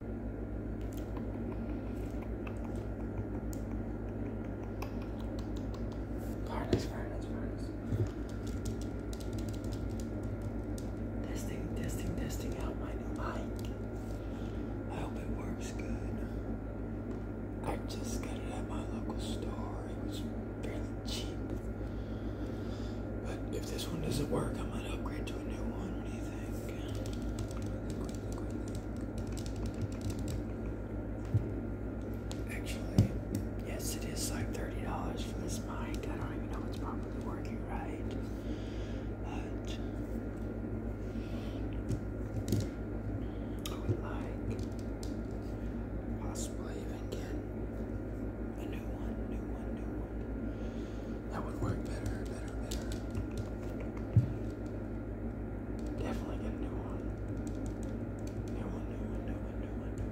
Fine, it's fine, it's fine. Testing, testing, testing out my new mic. I hope it works good. I just got it at my local store. It was fairly cheap. But if this one doesn't work, I might upgrade to a new one. What do Actually, yes, it is like $30 for this mic. I don't even know if it's probably working right. But I would like possibly even get a new one, new one, new one. That would work better, better, better. Definitely get a new one. New one, new one, new one, new one, new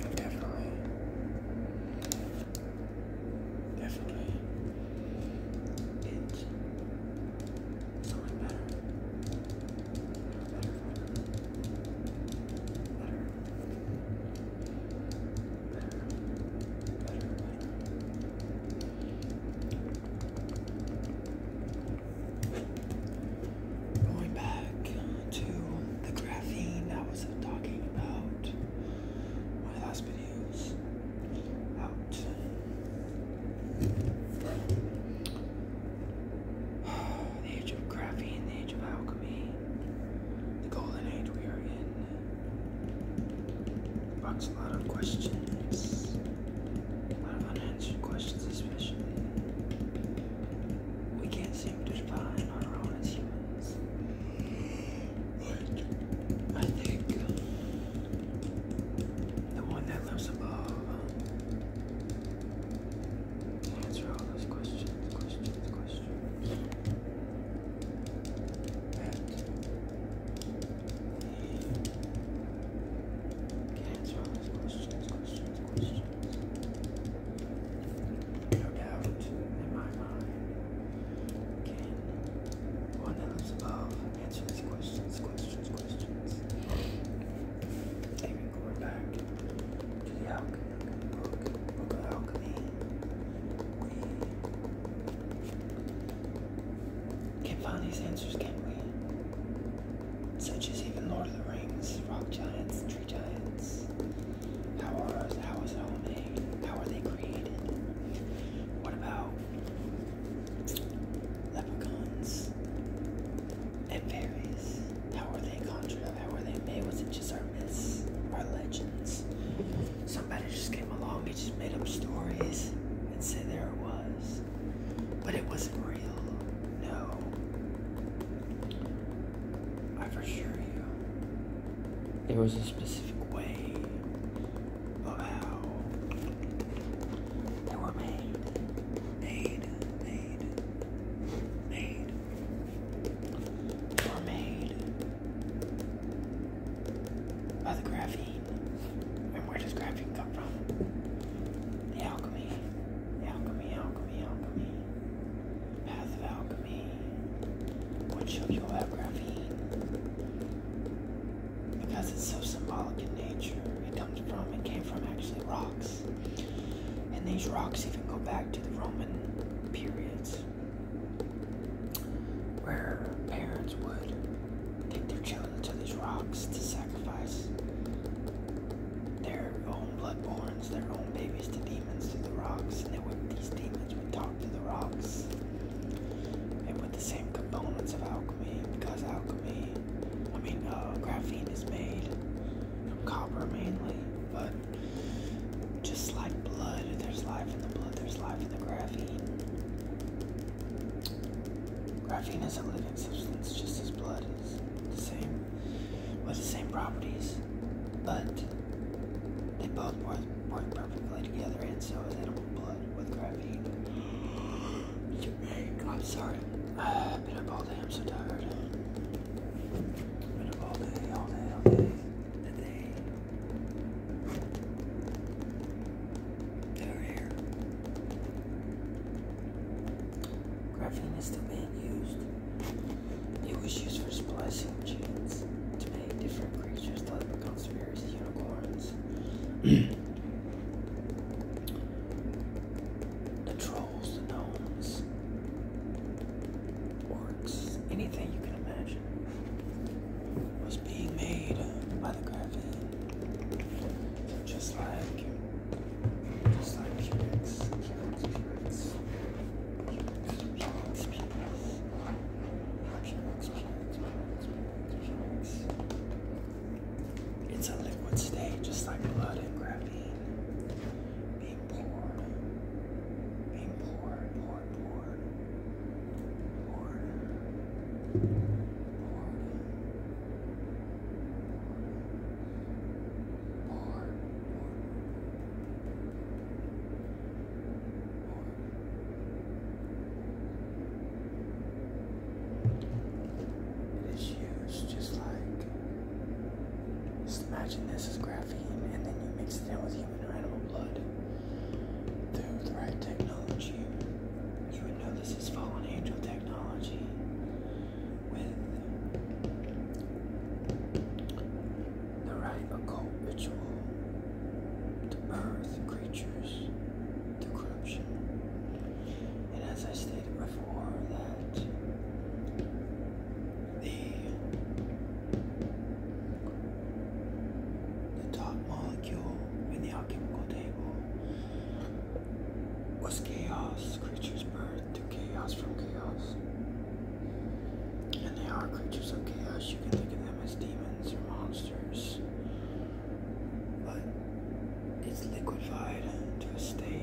one. Definitely. Definitely. It's something better. Going back to the graphene I was talking about one last videos out. the age of graphene, the age of alchemy, the golden age we are in. Bucks a lot of questions, a lot of unanswered questions, especially. We can't seem to define our own as humans. But I think the one that lives above answer all those questions, questions, questions answer all those questions, questions, questions. doubt in my mind one that lives above answer these questions, questions, questions. Even going back to the alchemy book, book of alchemy, we can find these answers, can't we? Such as even Lord of the Rings, rock giants, tree giants. How are how is it all made? How are they created? What about leprechauns and fairies? How are they conjured? about were they made? Was it just our myths, our legends? Somebody just came along and just made up stories and say there it was. But it wasn't real. No. I for sure you. There was a specific way of how they were made. Made. Made. Made were made by the graphene. And where does graphene come from? The alchemy. alchemy, alchemy, alchemy. Path of alchemy. What show you have graphene? Because it's so symbolic in nature. It comes from, it came from actually rocks. And these rocks even go back to the Roman periods where parents would take their children to these rocks to sacrifice their own bloodborns, their own babies to demons through the rocks, and would, these demons would talk to the rocks. And with the same components of alchemy, because alchemy, I mean, uh, graphene is made from copper mainly but just like blood, there's life in the blood, there's life in the graphene. Graphene is a living substance just as blood is the same with the same properties, but they both work, work perfectly together and so is animal blood with graphene. I'm sorry. I've been up all day, I'm so tired. Graphene is still being used. It was used for splicing genes to make different creatures like the become unicorns. the trolls, the gnomes, orcs, anything you can imagine was being made by the Graven. Just like just like humans. It's a liquid state, just like blood and graphene being poured, being poured, poured, poured, poured, poured. poured, It is used just like just imagine this is graphene, and then you mix it in with human or animal blood. Through the right technology, you would know this is fallen angel technology. With the right occult ritual to birth creatures to corruption. And as I stated before, that the, top molecule in the alchemical table was chaos, creatures birthed through chaos from chaos. And they are creatures of chaos. You can think of them as demons or monsters. But it's liquefied into a state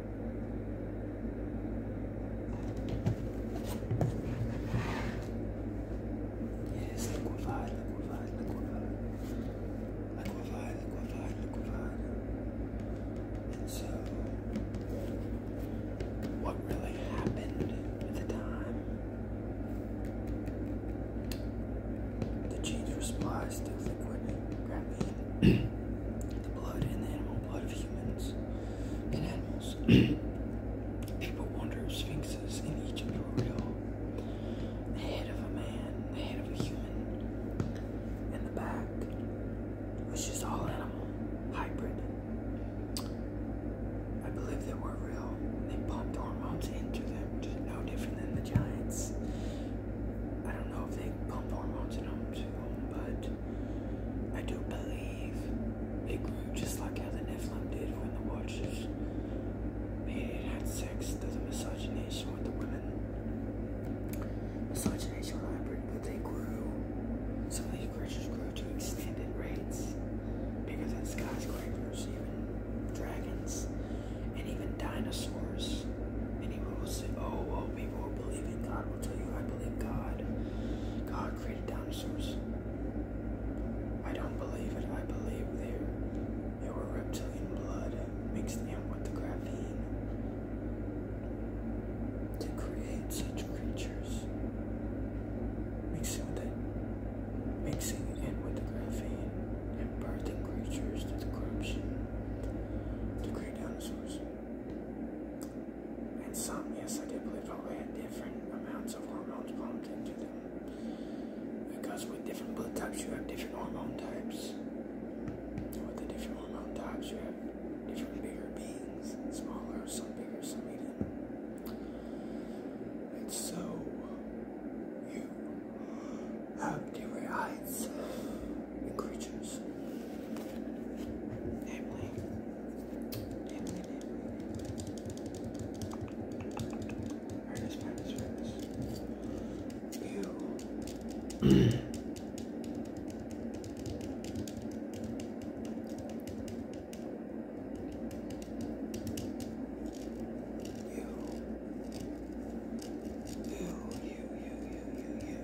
Yes, liquefy, liquefy, liquefy, liquefy, liquefy, And so, what really happened at the time? The genes response to liquid graphene, the blood and the animal blood of humans than animals. People wonder if sphinxes in each of the real. The head of a man, the head of a human, and the back was just all animal, hybrid. I believe they were real. They pumped hormones into them, just no different than the giants. I don't know if they pumped hormones into them but I do believe it grew just like how the Nephilim did when the Watchers made it had sex through the miscegenation with the women. Miscegenation hybrid, but they grew. Some of these creatures grew to extended rates, bigger than skyscrapers, even dragons, and even dinosaurs. Many people will say, "Oh, well, people will believe in God." Will tell you, "I believe God. God created dinosaurs. I don't believe it. I believe there, they were reptilian blood mixed in with the graphene to create such creatures. Mixing it, mixing in with the graphene and birthing creatures to the corruption to create dinosaurs. And some, yes, I did believe, probably had different amounts of hormones pumped into them. Because with different blood types, you have different hormone types. And with the different hormone types, you have different bigger beings, smaller, some bigger, some medium. And so, you have different heights in creatures. Namely, Minus, minus, minus. Ew. You, you, you, you, you, you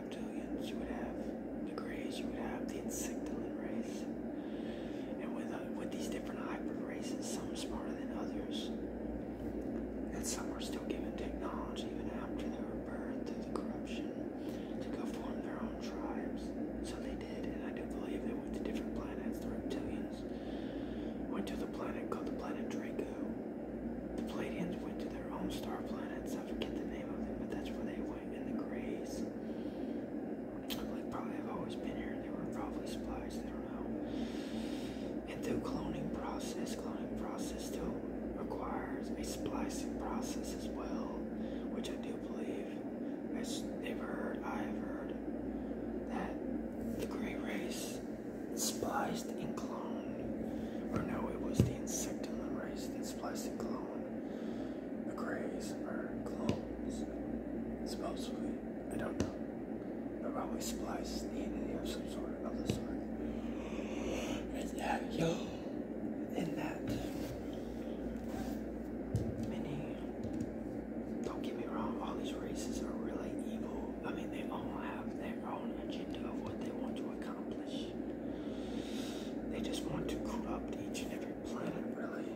reptilians, you would have the greys, you would have the insectolid race. And with, uh, with these different hybrid races, some smarter than others, and some are still given technology even after they were birthed through the corruption to go form their own tribes. So they did, and I do believe they went to different planets. The reptilians went to the planet called the planet Draco. The Pleiadians went to their own star planets. I forget the name of them, but that's where they went. And the grays. Like probably I've always been here. There were probably supplies. I don't know. And the cloning process, cloning process still requires a splicing process as well, which I do believe. i they've heard, I've heard that the gray race spliced and cloned, or no, it was the insectulin race that spliced and cloned. McCrae's or clones. Supposedly. I don't know. They're probably spliced DNA of some sort of other sort. Is that, yo. And that. And don't get me wrong, all these races are really evil. I mean, they all have their own agenda of what they want to accomplish. They just want to corrupt each and every planet, really.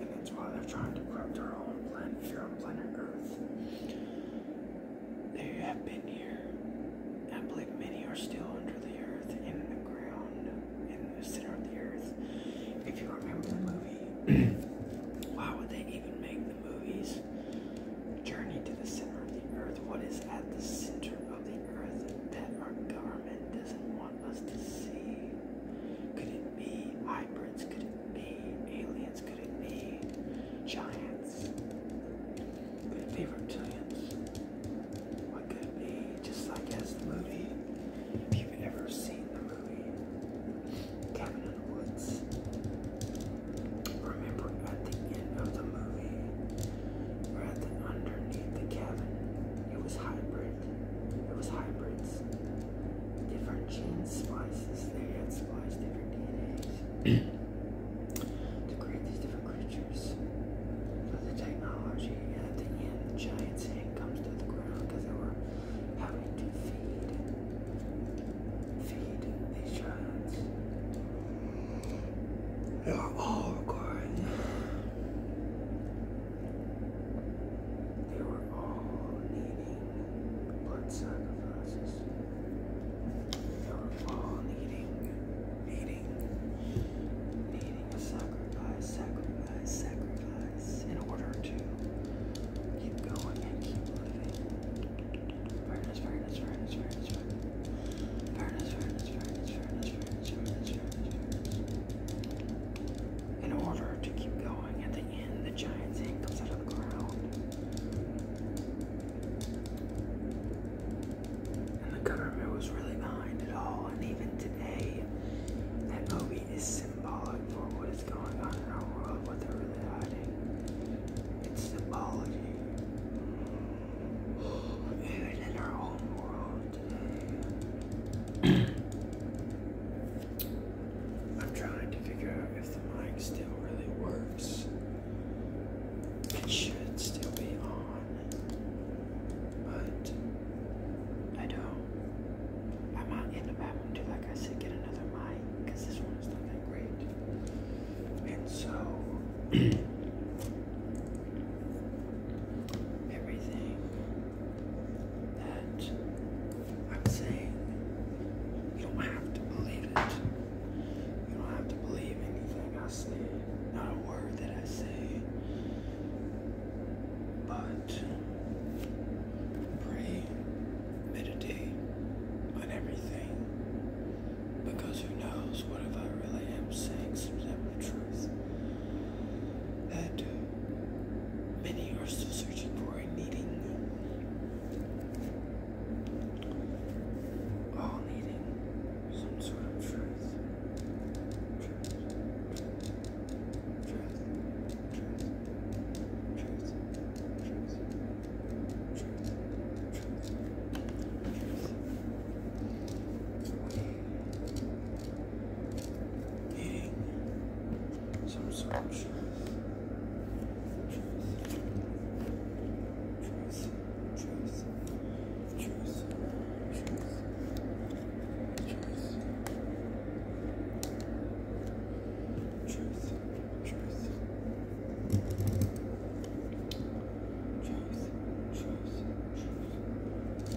And that's why they're trying to corrupt our own planet here on planet Earth. They have been here. I believe many are still under the earth, in the ground, in the center of the earth. If you remember the movie, why would they even make the movies? Journey to the center of the earth. What is at the center of the present that our government doesn't want us to see? Could it be hybrids? Could it be aliens? Could it be giants? Could it be reptilians? What could it be? Just like as the movie, if you've ever seen the movie Cabin in the Woods, remember at the end of the movie or underneath the cabin. It was hybrid. It was hybrids. Different genes, splices. They had spliced different DNAs. to create these different creatures. But the technology, and the end, the giant's hand comes to the ground because they were having to feed, feed these giants. They are all good. They were all needing blood sacrifices. They were all needing, needing, needing a sacrifice, sacrifice, sacrifice in order to keep going and keep living. Fairness, fairness, fairness, fairness, fairness. Fairness, fairness, fairness, fairness, fairness in order to keep going. At the end, the giant's hand comes out of the ground. And the government was really behind it all. And even today, that movie is symbolic for what is going on in our world, what they're really hiding. It's symbology. Even in our own world, I'm trying to figure out if the mic still really works. It should still be on, but I don't. I might end up having to, like I said, get another mic because this one is not that great. And so. everything that I'm saying. You don't have to believe it. You don't have to believe anything I say, not a word that I say. But pray, meditate on everything. Because who knows, what if I really am saying some type truth and uh, many are still searching for a needing. All needing some sort of Truth eating some sort of truth. Truth. Truth. Truth. Truth. Truth. Truth. Truth. Truth. Truth. Truth. Truth.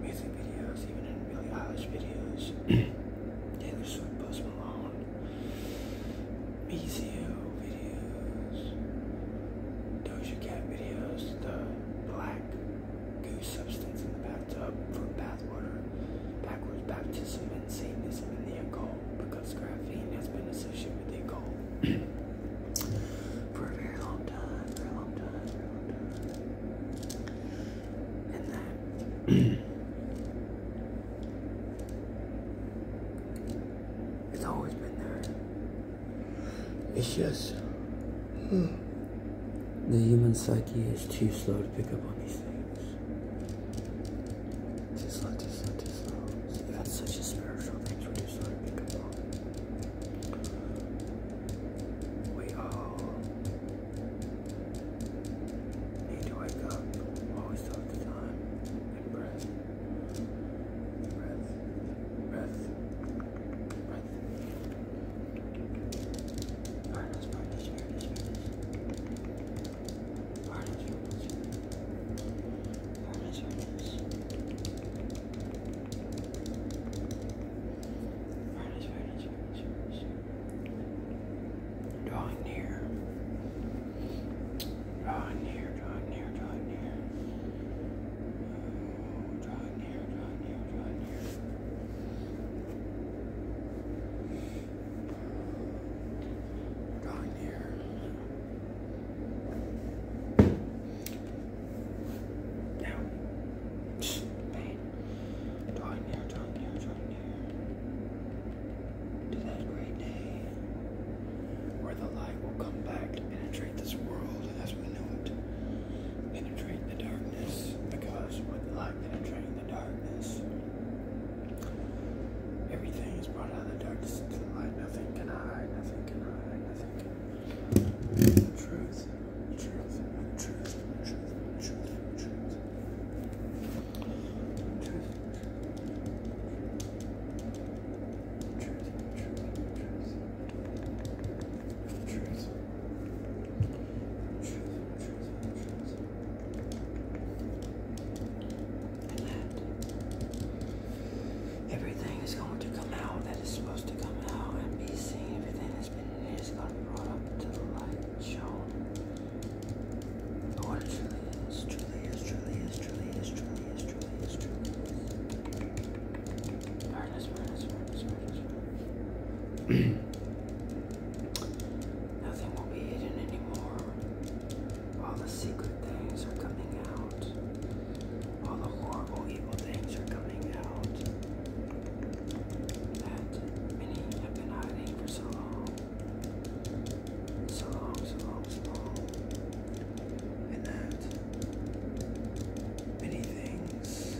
music videos, even in Billie Eilish videos, Taylor Swift, Post Malone, Mizio videos, Doja Cat videos, the black goose substance in the bathtub for bathwater, backwards baptism and Satanism in the occult, because graphene has been associated with the occult. for a very long time, very long time, very long time. it's always been there. It's just hmm. the human psyche is too slow to pick up on these things. Too slow, too slow, too slow. Even such a spiritual things we're too up on. We all Need to wake up. Always take the time and breath. Breath. Breath. Breath. Alright, let's practice, practice, practice. Alright, let's practice. Alright, let's practice. Alright, let's practice, practice, practice. Drawing near. Drawing near, drawing near, drawing near. Oh, near, drawing near, drawing near. Drawing Pain. Drawing near, drawing near, drawing near. To that great day where the light will come back penetrate this world as we know it. Penetrate the darkness because with light penetrating the darkness, everything is brought out of the darkness into the light. Nothing can hide, nothing can hide, nothing can. The truth everything is going to come out that is supposed to come out and be seen. Everything that's been in here is going to be brought up to the light shown. Oh, truly is, truly is, truly is, truly is, truly is, truly is, truly is. Furnace, furnace, furnace, furnace, Nothing will be hidden anymore. All the secret things are coming out. All the horrible, evil things are coming out that many have been hiding for so long. So long, so long, so long. And that many things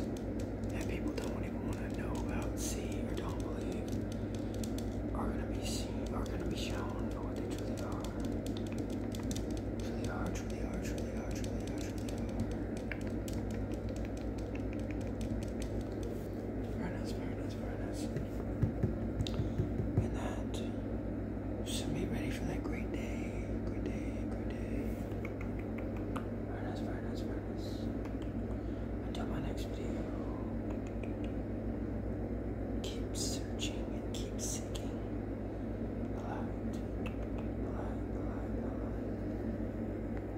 that people don't even want to know about, see, or don't believe are going to be seen, are going to be shown for what Truly are, truly are, truly are, truly are, truly are. Very nice, very nice, very nice. And that should be ready for that great day. Great day, great day. Very nice, very nice, very nice. Until my next video. Keep searching and keep seeking the light. The light, the light, the light.